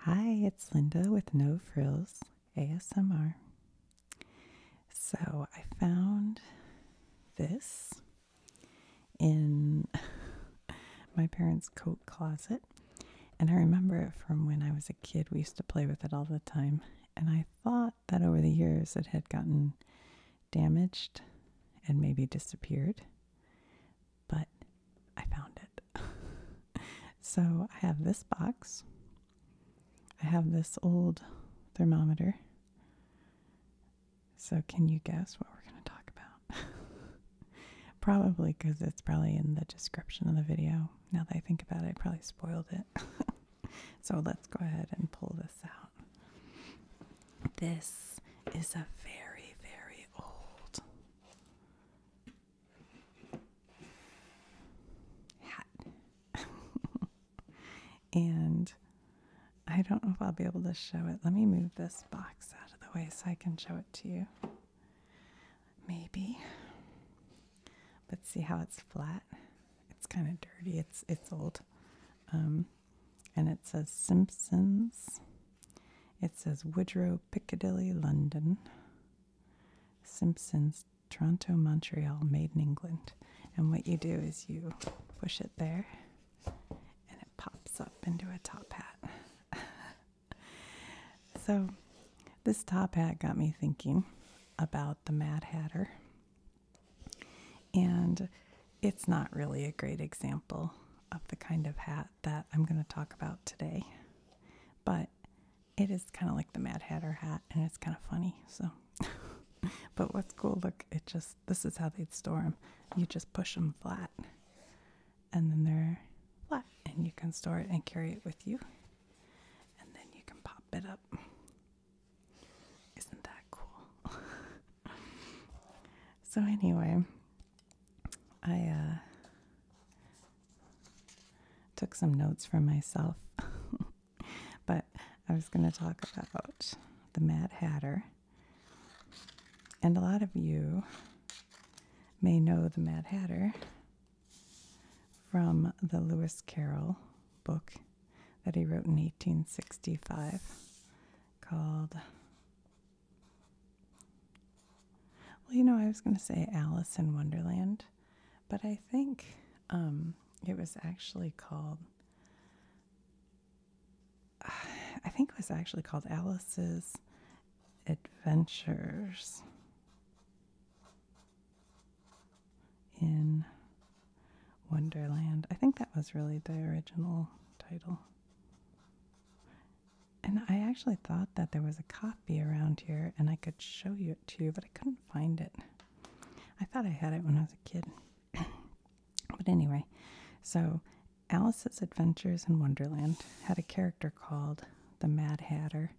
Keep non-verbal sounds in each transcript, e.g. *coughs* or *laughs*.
Hi, it's Linda with No Frills ASMR. So I found this in *laughs* my parents' coat closet, and I remember it from when I was a kid. We used to play with it all the time, and I thought that over the years it had gotten damaged and maybe disappeared, but I found it. *laughs* so I have this box. I have this old thermometer. So, can you guess what we're going to talk about? *laughs* probably because it's probably in the description of the video. Now that I think about it, I probably spoiled it. *laughs* so, let's go ahead and pull this out. This is a very, very old hat. *laughs* and I don't know if I'll be able to show it. Let me move this box out of the way so I can show it to you. Maybe. But see how it's flat? It's kind of dirty. It's it's old. Um, and it says Simpsons it says Woodrow, Piccadilly, London. Simpsons, Toronto, Montreal, made in England. And what you do is you push it there and it pops up into a top hat. *laughs* so this top hat got me thinking about the Mad Hatter. And it's not really a great example of the kind of hat that I'm going to talk about today, but it is kind of like the Mad Hatter hat, and it's kind of funny. So, *laughs* but what's cool? Look, it just this is how they'd store them. You just push them flat, and then they're flat, and you can store it and carry it with you, and then you can pop it up. Isn't that cool? *laughs* so anyway, I uh, took some notes for myself, *laughs* but I was going to talk about the Mad Hatter. And a lot of you may know the Mad Hatter from the Lewis Carroll book that he wrote in 1865 called well, you know, I was going to say Alice in Wonderland, but I think um, it was actually called. *sighs* I think it was actually called Alice's Adventures in Wonderland. I think that was really the original title. And I actually thought that there was a copy around here and I could show you it to you, but I couldn't find it. I thought I had it when I was a kid. *clears throat* but anyway, so Alice's Adventures in Wonderland had a character called the Mad Hatter.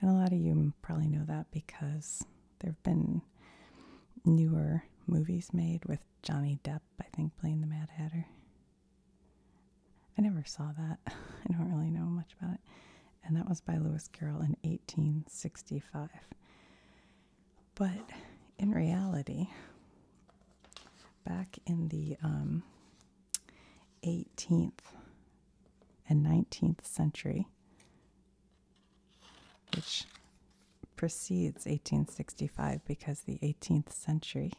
And a lot of you probably know that because there have been newer movies made with Johnny Depp, I think, playing the Mad Hatter. I never saw that. *laughs* I don't really know much about it. And that was by Lewis Carroll in 1865. But in reality, back in the 18th um, and 19th century, which precedes 1865 because the 18th century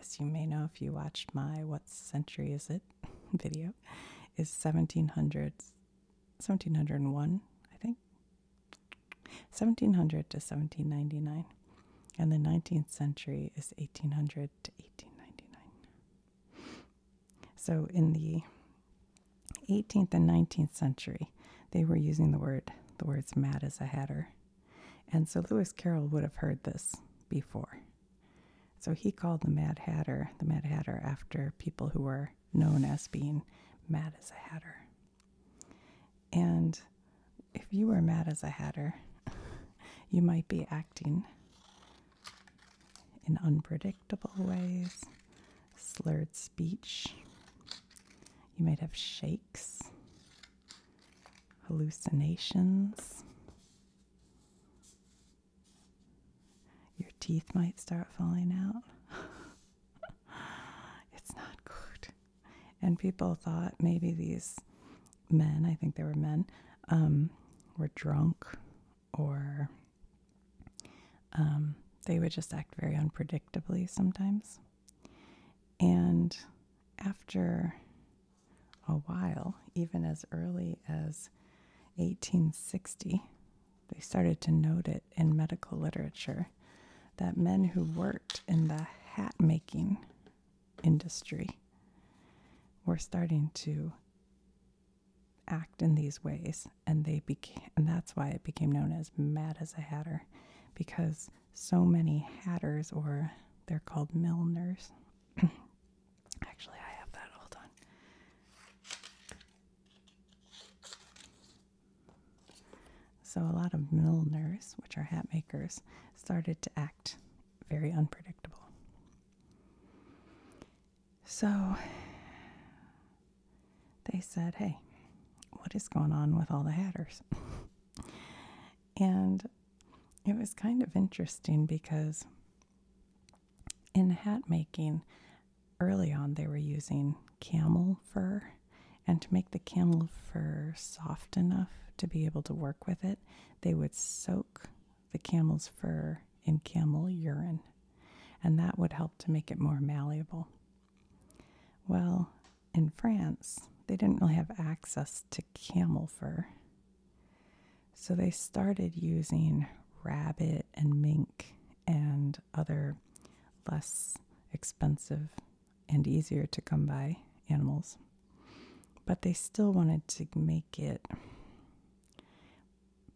as you may know if you watched my What Century Is It *laughs* video, is 1700, 1701, I think. 1700 to 1799. And the 19th century is 1800 to 1899. So in the 18th and 19th century, they were using the word, the words mad as a hatter and so Lewis Carroll would have heard this before. So he called the Mad Hatter the Mad Hatter after people who were known as being mad as a hatter. And if you were mad as a hatter, *laughs* you might be acting in unpredictable ways, slurred speech, you might have shakes, hallucinations. Your teeth might start falling out. *laughs* it's not good. And people thought maybe these men, I think they were men, um, were drunk or um, they would just act very unpredictably sometimes. And after a while, even as early as 1860, they started to note it in medical literature that men who worked in the hat making industry were starting to act in these ways and they became and that's why it became known as mad as a hatter because so many hatters, or they're called milliners. *clears throat* Actually, I have that. Hold on. So, a lot of milliners, which are hat makers, started to act very unpredictable. So, they said, Hey, what is going on with all the hatters? *laughs* and it was kind of interesting because in hat making, early on they were using camel fur, and to make the camel fur soft enough to be able to work with it, they would soak the camel's fur in camel urine, and that would help to make it more malleable. Well, in France, they didn't really have access to camel fur. So they started using rabbit and mink and other less expensive and easier to come by animals. But they still wanted to make it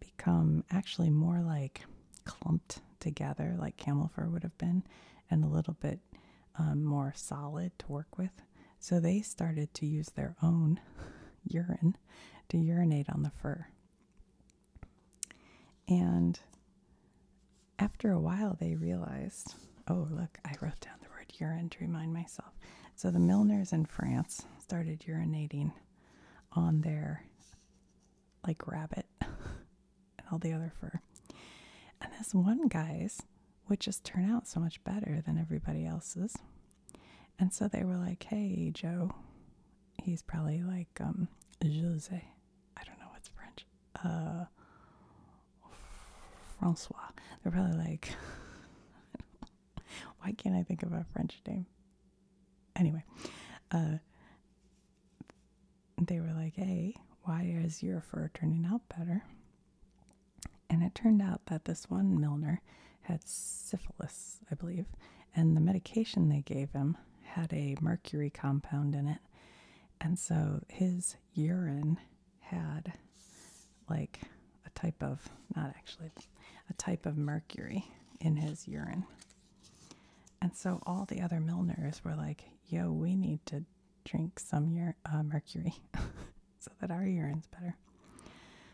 become actually more like clumped together, like camel fur would have been, and a little bit um, more solid to work with. So they started to use their own *laughs* urine to urinate on the fur. And after a while, they realized oh, look, I wrote down the word urine to remind myself. So the Milners in France started urinating on their like rabbit *laughs* and all the other fur. And this one guy's would just turn out so much better than everybody else's. And so they were like, hey, Joe. He's probably like, um, José. I don't know what's French. Uh, Francois. They're probably like, *laughs* why can't I think of a French name? Anyway, uh, they were like, hey, why is your fur turning out better? And it turned out that this one Milner had syphilis, I believe, and the medication they gave him had a mercury compound in it. And so his urine had like a type of, not actually, a type of mercury in his urine. And so all the other Milners were like, yo, we need to drink some ur uh, mercury *laughs* so that our urine's better.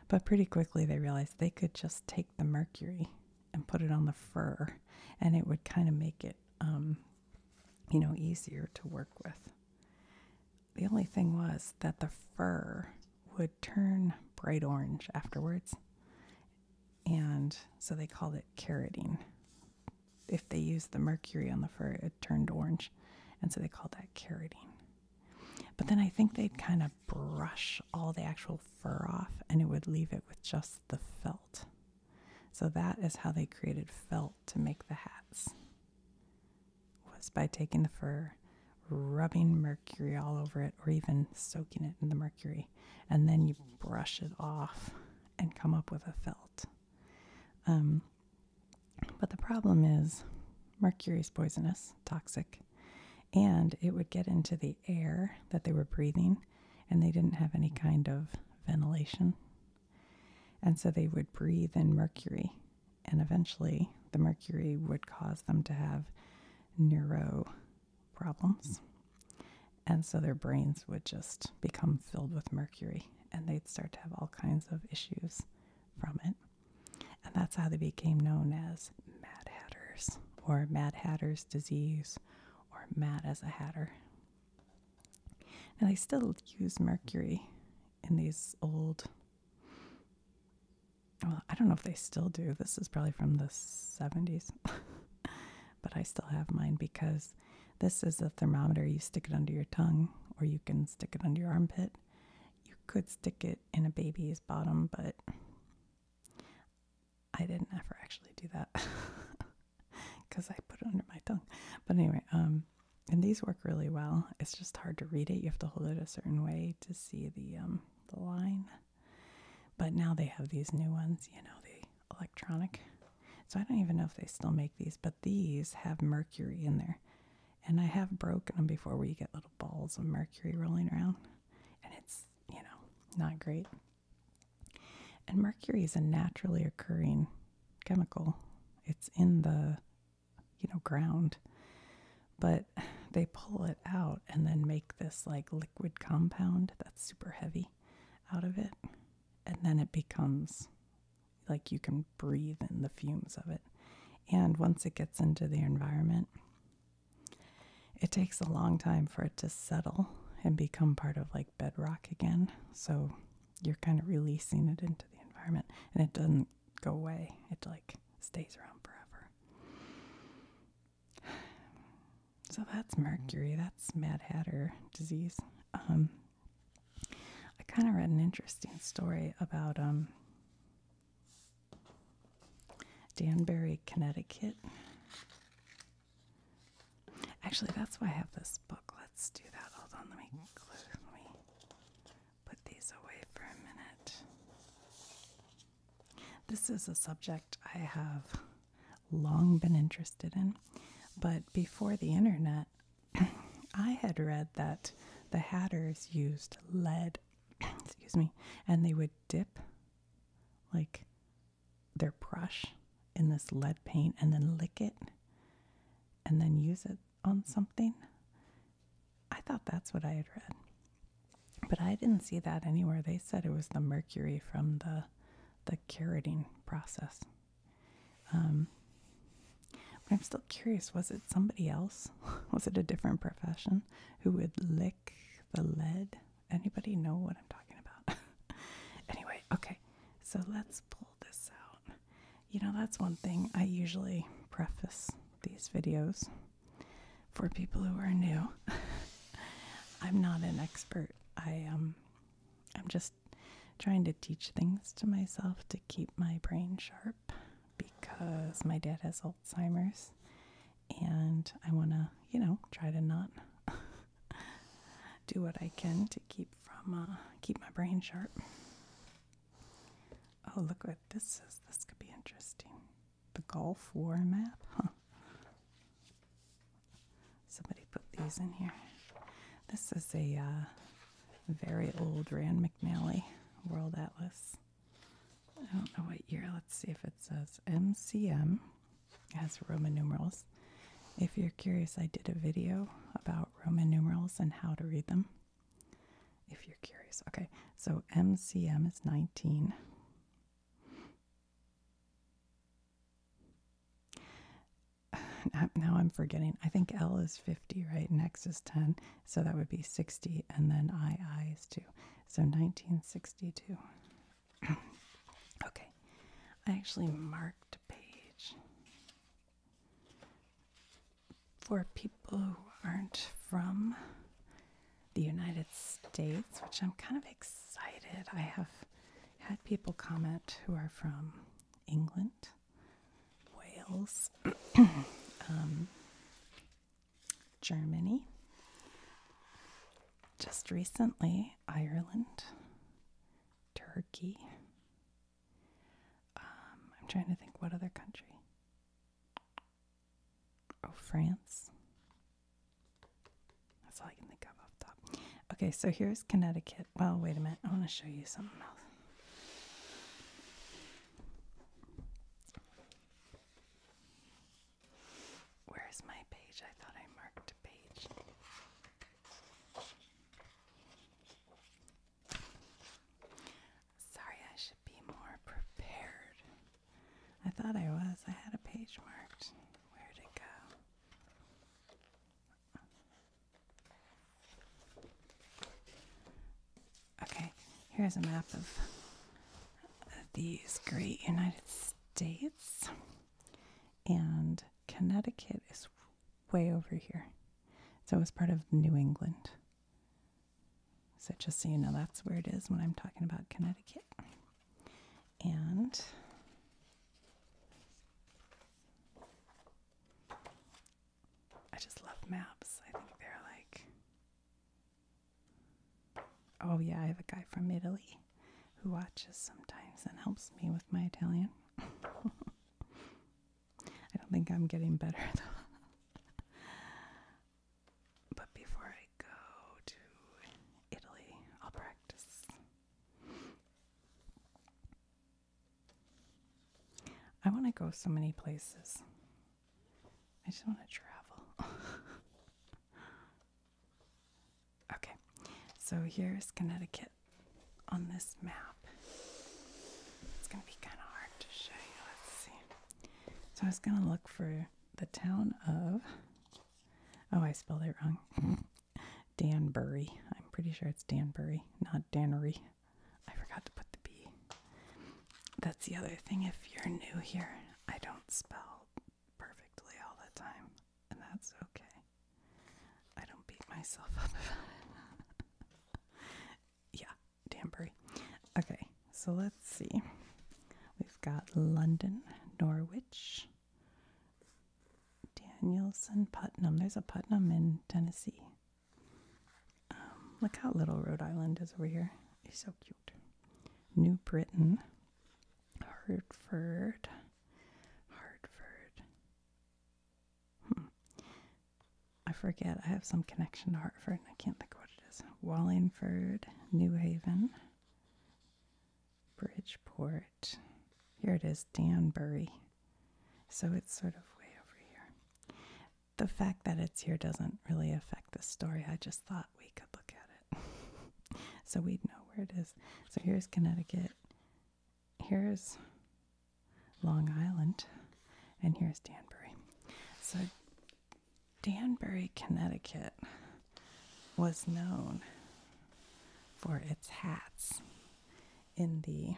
But pretty quickly they realized they could just take the mercury and put it on the fur, and it would kind of make it, um, you know, easier to work with. The only thing was that the fur would turn bright orange afterwards, and so they called it carotene if they used the mercury on the fur, it turned orange. And so they called that carotene. But then I think they'd kind of brush all the actual fur off and it would leave it with just the felt. So that is how they created felt to make the hats. Was by taking the fur, rubbing mercury all over it or even soaking it in the mercury and then you brush it off and come up with a felt. Um but the problem is, mercury is poisonous, toxic, and it would get into the air that they were breathing, and they didn't have any kind of ventilation. And so they would breathe in mercury, and eventually the mercury would cause them to have neuro problems. And so their brains would just become filled with mercury and they'd start to have all kinds of issues from it. And that's how they became known as Mad Hatters, or Mad Hatter's disease, or Mad as a Hatter. Now, they still use mercury in these old. Well, I don't know if they still do. This is probably from the 70s. *laughs* but I still have mine because this. is a thermometer. You stick it under your tongue, or you can stick it under your armpit. You could stick it in a baby's bottom, but I didn't ever actually do that because *laughs* I put it under my tongue. But anyway, um, and these work really well. It's just hard to read it. You have to hold it a certain way to see the um, the line. But now they have these new ones, you know, the electronic so I don't even know if they still make these, but these have mercury in there. And I have broken them before where you get little balls of mercury rolling around. And it's, you know, not great. And mercury is a naturally occurring chemical. It's in the, you know, ground. But they pull it out and then make this like liquid compound that's super heavy out of it. And then it becomes like you can breathe in the fumes of it. And once it gets into the environment, it takes a long time for it to settle and become part of like bedrock again. So you're kind of releasing it into the environment and it doesn't go away. It like stays around forever. *sighs* So that's mercury, that's Mad Hatter disease. Um, I kind of read an interesting story about um, Danbury, Connecticut. Actually, that's why I have this book. Let's do that. Hold on, Let me put these away for a minute. This is a subject I have long been interested in, but before the internet, I had read that the hatters used lead, *clears throat* excuse me, and they would dip like their brush in this lead paint and then lick it and then use it on something. I thought that's what I had read. But I didn't see that anywhere. They said it was the mercury from the the carotene process. Um, I'm still curious was it somebody else? *laughs* was it a different profession who would lick the lead? Anybody know what I'm talking about? *laughs* anyway, okay, so let's pull this out. You know, that's one thing I usually preface these videos for people who are new. *laughs* I'm not an expert. I am. Um, I'm just trying to teach things to myself to keep my brain sharp because my dad has Alzheimer's and I want to, you know, try to not *laughs* do what I can to keep from uh, keep my brain sharp. Oh, look what this is. This could be interesting. The Gulf War map, huh? Somebody put these in here. This is a uh, very old Rand McNally World Atlas. I don't know what year. Let's see if it says MCM. It has Roman numerals. If you're curious, I did a video about Roman numerals and how to read them. If you're curious. Okay, so MCM is 19 now I'm forgetting. I think L is 50, right? And X is 10. So that would be 60. And then I is 2. So 1962. *clears throat* okay. I actually marked a page for people who aren't from the United States, which I'm kind of excited. I have had people comment who are from England, Wales, *coughs* um, Germany, just recently, Ireland, Turkey. Um, I'm trying to think what other country. Oh, France. That's all I can think of Okay, so here's Connecticut. Well, wait a minute. I want to show you something else. Where's my page? I thought I marked a page. Sorry, I should be more prepared. I thought I was. I had a page marked. Where'd it go? Okay, here's a map of these great United States. And Connecticut is way over here. So it's part of New England. So just so you know, that's where it is when I'm talking about Connecticut. And I just love maps. I think they're like. Oh, yeah, I have a guy from Italy who watches sometimes and helps me with my Italian. *laughs* I don't think I'm getting better *laughs* though. but before I go to Italy, I'll practice. I want to go so many places. I just want to travel. *laughs* okay, so here's Connecticut on this map. It's going to be kind of hard to show you. Let's see. So I was going to look for the town of. Oh, I spelled it wrong. *laughs* Danbury. I'm pretty sure it's Danbury, not Dannery. I forgot to put the B. That's the other thing. If you're new here, I don't spell perfectly all the time, and that's okay. I don't beat myself up about it. *laughs* yeah, Danbury. Okay, so let's see. We've got London, Norwich, Danielson Putnam. There's a Putnam in Tennessee. Um, look how little Rhode Island is over here. It's so cute. New Britain, Hartford, Hartford. Hmm. I forget. I have some connection to Hartford, I can't think what it is. Wallingford, New Haven, Bridgeport. Here it is, Danbury. So it's sort of way over here. The fact that it's here doesn't really affect the story. I just thought we could look at it. *laughs* so we'd know where it is. So here's Connecticut. Here's Long Island. And here's Danbury. So Danbury, Connecticut was known for its hats in the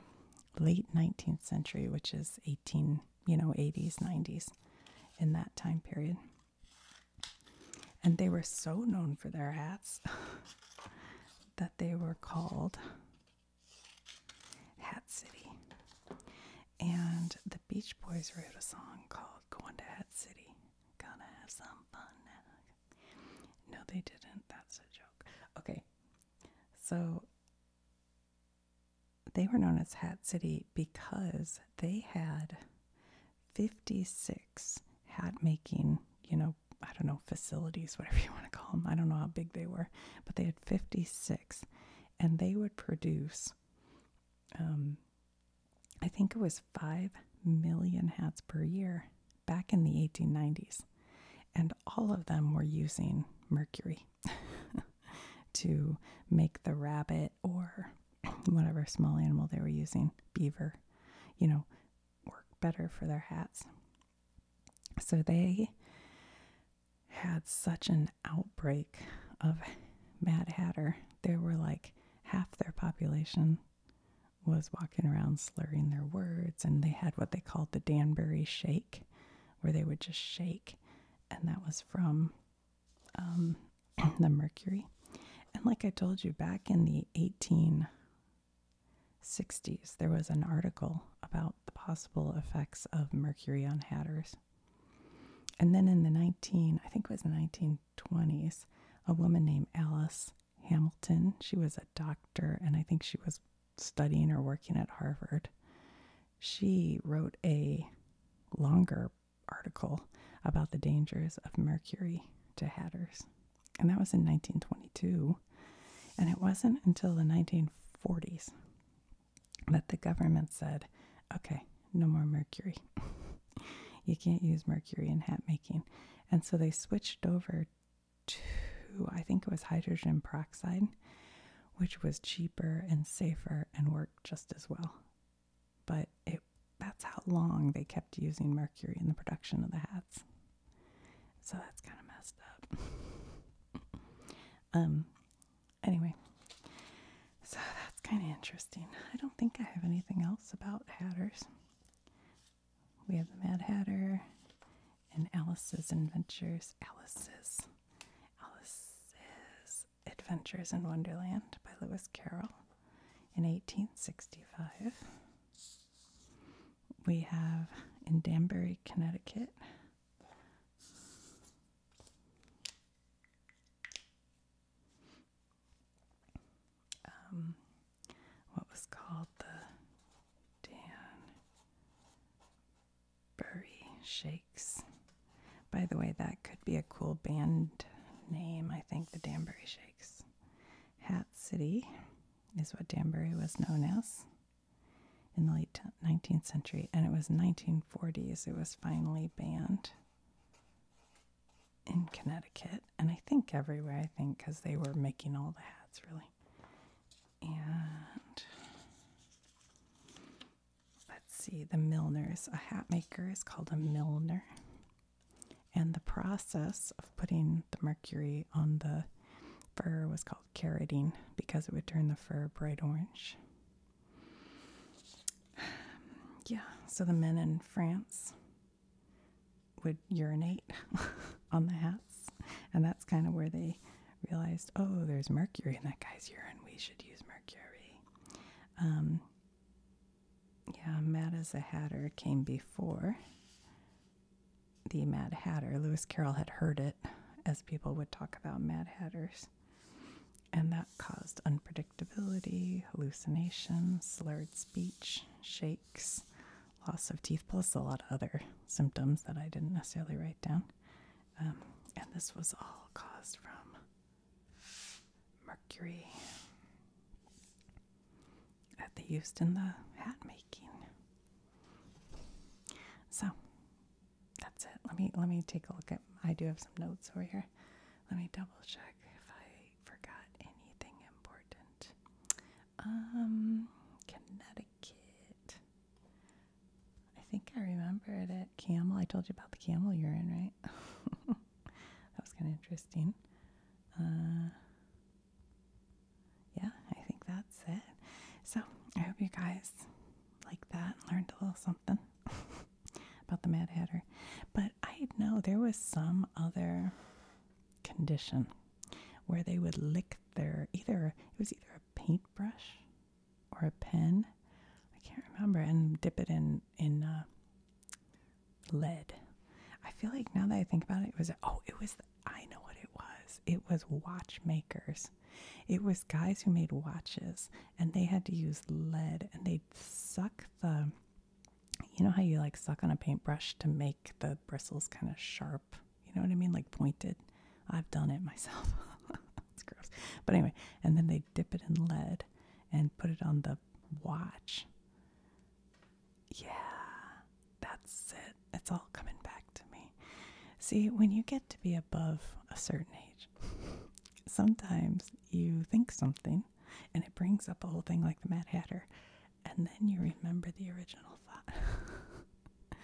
late 19th century, which is 18, you know, 80s, 90s, in that time period. And they were so known for their hats *laughs* that they were called Hat City. And the Beach Boys wrote a song called Going to Hat City. Gonna have some fun now. No, they didn't. That's a joke. Okay. So they were known as Hat City because they had 56 hat making, you know, I don't know, facilities, whatever you want to call them. I don't know how big they were, but they had 56 and they would produce, um, I think it was 5 million hats per year back in the 1890s, and all of them were using mercury *laughs* to make the rabbit or *clears throat* whatever small animal they were using, beaver, you know, work better for their hats. So they had such an outbreak of Mad Hatter. There were like half their population was walking around slurring their words, and they had what they called the Danbury Shake, where they would just shake, and that was from um, *clears throat* the Mercury. And like I told you, back in the 1860s, there was an article about the possible effects of mercury on hatters. And then in the 19, I think it was the 1920s, a woman named Alice Hamilton. She was a doctor, and I think she was studying or working at Harvard. She wrote a longer article about the dangers of mercury to hatters, and that was in 1922. And it wasn't until the 1940s that the government said, okay, no more mercury. *laughs* you can't use mercury in hat making. And so they switched over two, I think it was hydrogen peroxide, which was cheaper and safer and worked just as well. But it that's how long they kept using mercury in the production of the hats. So that's kind of messed up. *laughs* um anyway. So that's kind of interesting. I don't think I have anything else about hatters. We have the Mad Hatter and Alice's Adventures. Alice's. Alice's Adventures in Wonderland by Lewis Carroll in 1865. We have in Danbury, Connecticut. Um, what was called the Danbury Shakes. By the way, that could be a cool band name, I think, the Danbury Shakes. Hat City is what Danbury was known as in the late 19th century, and it was 1940s it was finally banned in Connecticut, and I think everywhere, I think, because they were making all the hats really. And let's see, the milliners. A hat maker is called a milliner. And the process of putting the mercury on the fur was called carroting because it would turn the fur bright orange. *sighs* Yeah, so the men in France would urinate *laughs* on the hats. And that's kind of where they realized, oh, there's mercury in that guy's urine. We should use mercury. Um, yeah, Mad as a Hatter came before the Mad Hatter. Lewis Carroll had heard it as people would talk about Mad Hatters. And that caused unpredictability, hallucinations, slurred speech, shape loss of teeth, plus a lot of other symptoms that I didn't necessarily write down. Um, and this was all caused from mercury that they used in the hat making. So that's it. Let me let me take a look at I do have some notes over here. Let me double check if I forgot anything important. Um, Connecticut. I think I remembered it. Camel. I told you about the camel urine, right? *laughs* that was kind of interesting. Uh, yeah, I think that's it. So I hope you guys like that, and learned a little something *laughs* about the Mad Hatter. But I know there was some other condition where they would lick their either it was either a paintbrush or a pen I can't remember and dip it in in uh, lead I feel like now that I think about it it was oh it was I know what it was it was watchmakers it was guys who made watches and they had to use lead and they'd suck the you know how you like suck on a paintbrush to make the bristles kind of sharp? You know what I mean? Like pointed. I've done it myself. *laughs* it's gross. But anyway, and then they dip it in lead and put it on the watch. Yeah, that's it. It's all coming back to me. See, when you get to be above a certain age, sometimes you think something and it brings up a whole thing like the Mad Hatter and then you remember the original thought. *laughs*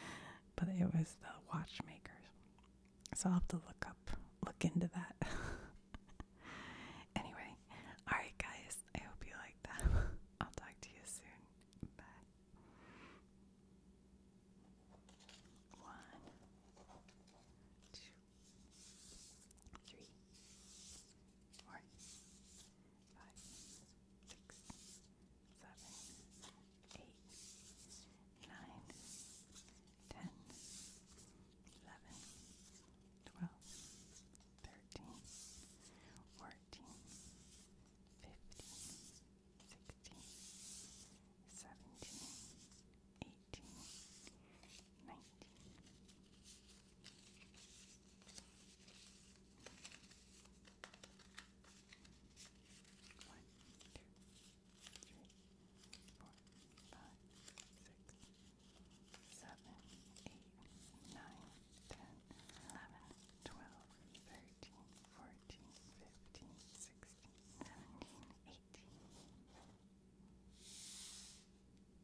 but it was the watchmakers. So I'll have to look up, look into that. *laughs* anyway, alright, guys, I hope you like that. *laughs* I'll talk to you soon. Bye. One, two, three, four, five, six, seven, eight, nine, ten, eleven, twelve, thirteen, fourteen, fifteen, sixteen, seventeen, eighteen, nineteen. One, two, three, four, five, six, seven, eight, nine, ten, eleven, twelve, thirteen, fourteen, fifteen, sixteen, seventeen, eighteen.